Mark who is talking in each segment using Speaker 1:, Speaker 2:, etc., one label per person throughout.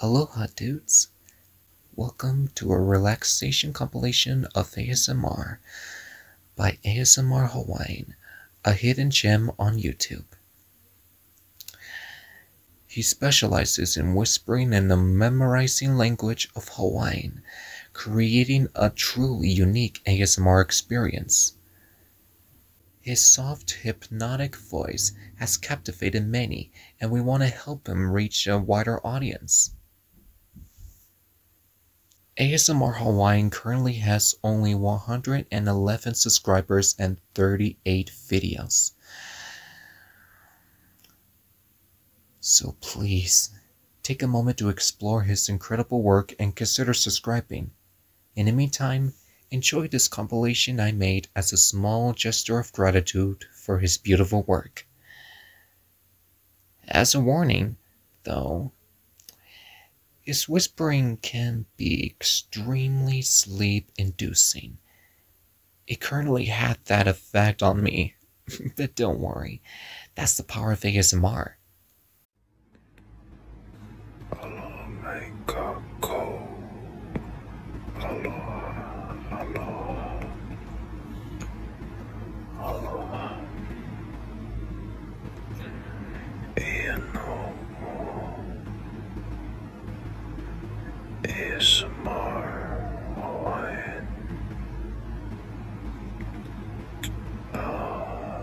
Speaker 1: Aloha dudes! Welcome to a relaxation compilation of ASMR by ASMR Hawaiian, a hidden gem on YouTube. He specializes in whispering and the memorizing language of Hawaiian, creating a truly unique ASMR experience. His soft, hypnotic voice has captivated many, and we want to help him reach a wider audience. ASMR Hawaiian currently has only 111 subscribers and 38 videos. So please, take a moment to explore his incredible work and consider subscribing. In the meantime, enjoy this compilation I made as a small gesture of gratitude for his beautiful work. As a warning, though, his whispering can be extremely sleep inducing. It currently had that effect on me, but don't worry, that's the power of ASMR. Aloha maika ko.
Speaker 2: Aloha, aloha. Aloha. Ia no mo. ASMR Hawaiian. Uh,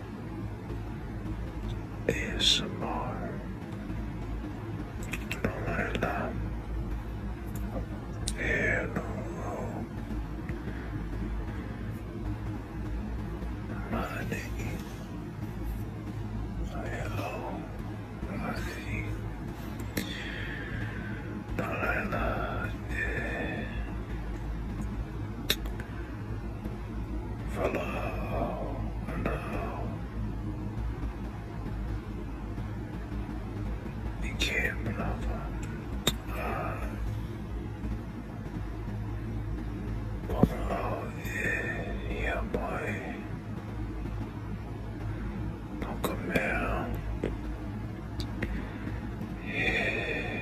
Speaker 2: ASMR Lorena Hello Money Hello Money Lorena from below uh, yeah, boy. Don't come down. Yeah.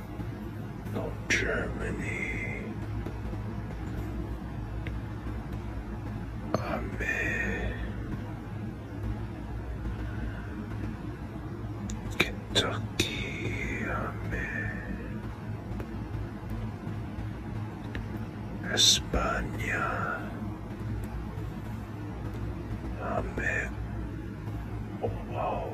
Speaker 2: of Germany. Amen. Kentucky, Amen. España, Amen. Oh, wow.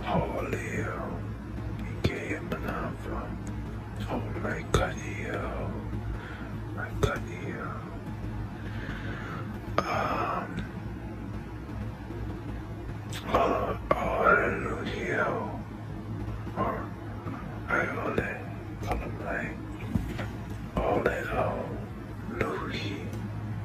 Speaker 2: Holio, Ikea Manava, Oh my Kadio, my Kadio. Um, oh, hallelujah, or I only call him like, only,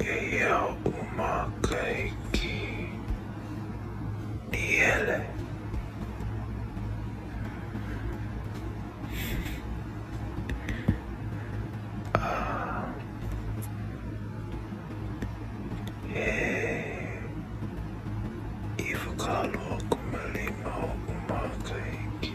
Speaker 2: Eya umakaiki niele. Ah. Hey. Eh. Ivukalo kumalima umakaiki.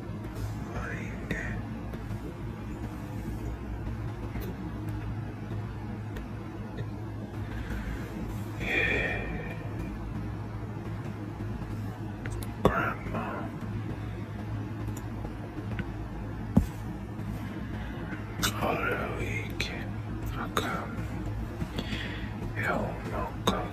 Speaker 2: Yeah. Grandma. All the week I come. Hell no, come.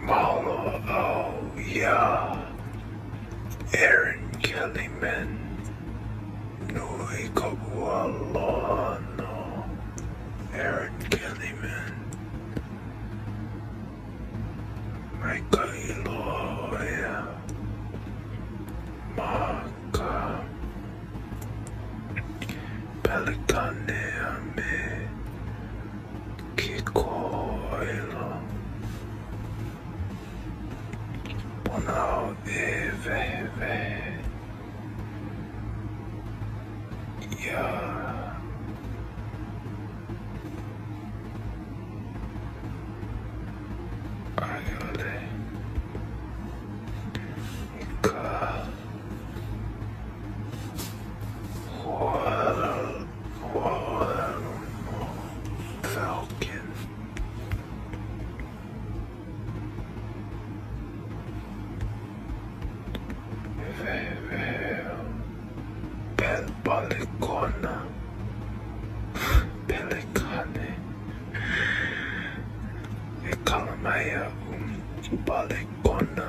Speaker 2: Mama, oh yeah. Aaron Kellyman, Nui Kabualano, Aaron Kellyman, Michael Loya, Maka, Pelicane Ame, Kikoiro Pono Eve Ya Ayole Ika Huala Falcon. Pel Pelicona. Pelicane. E calamaya um uh, balecona.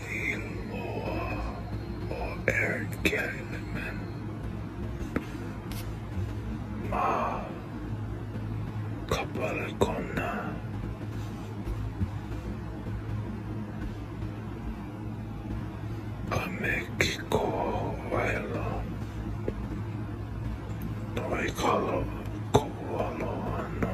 Speaker 2: Nadine Moore or Eric Kidman. Ma Kapalakona. Amekiko Wailo. Noikalo Kowalo Ano.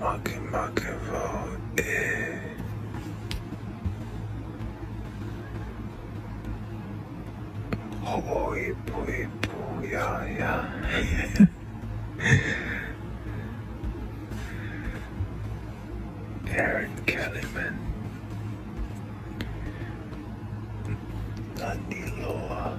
Speaker 2: Marky Markevo eh. Oh, boy, boy, yeah, yeah. Aaron Kellyman, Nani Loa.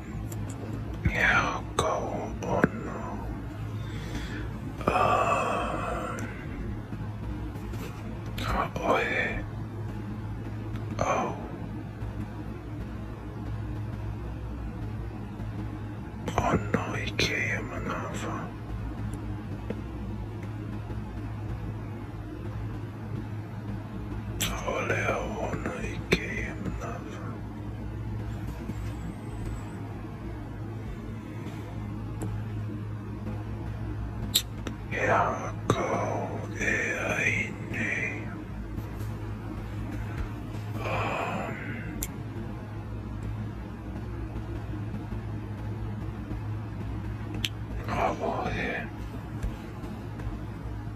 Speaker 2: Yeah, go on. now. Uh, oye. Oh, oh. Oh no, he came another. Olha, oh, oh no, he came another. Jako je jiný. Um, oh, yeah.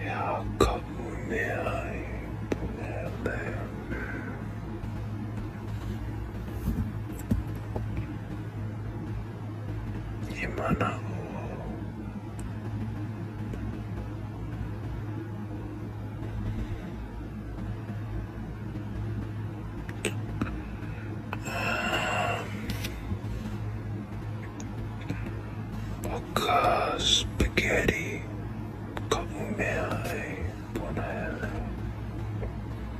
Speaker 2: Yakamunei Blebe. Imana Um, Bocca spaghetti, cottonelle, bonelle,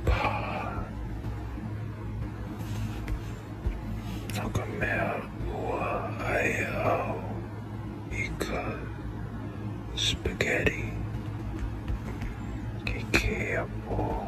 Speaker 2: pie. Nogomel, ua, ayo, ica, spaghetti, kikeapo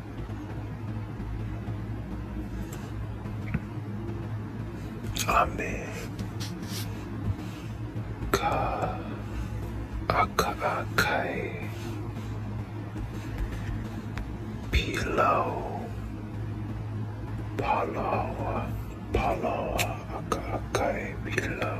Speaker 2: Amen. Ka aka akai. Pilau. Palawa. Palawa aka akai pilau.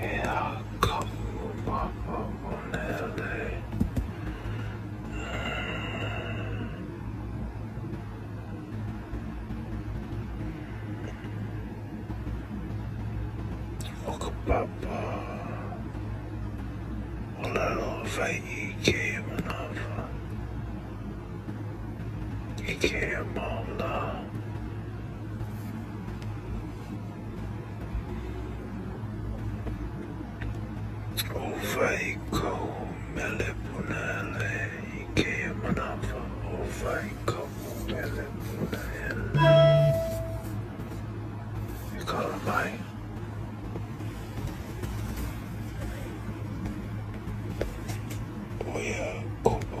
Speaker 2: Ela kafuma abonede. Oka papa. Olelo vai ike manava. Ike manda. Ovaiko melepunele ike manafa ovaiko melepunele You call him mine? Oya kopo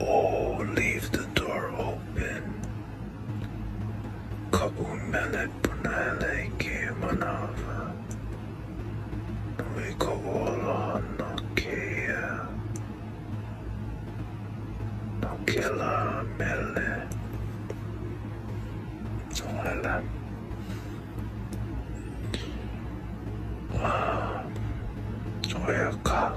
Speaker 2: Oh, leave the door open. Kabumele punele ki manava. Wiko wola no kia. No kila mele. Lala. Ah, oya ka.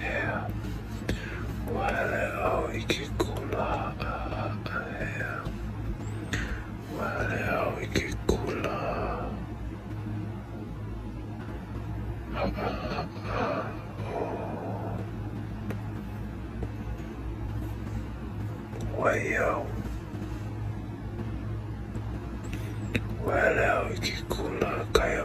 Speaker 2: Yeah. Waleo ikikula yeah. Waleo ikikula oh. Wayo Waleo ikikula kayo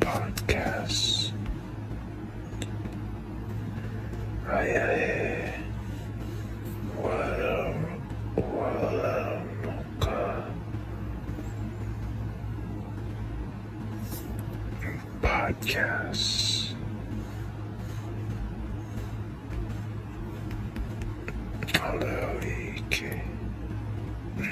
Speaker 2: podcasts. Raya Walam Walamuka Podcasts. Hello, EK.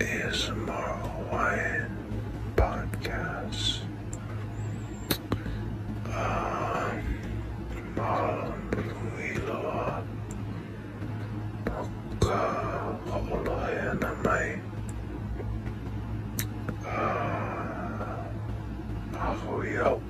Speaker 2: Is ASMR Hawaiian podcast. Um, Marlon Luiloa. Poka Ho'olohe Namai. Uh, Ahoyau.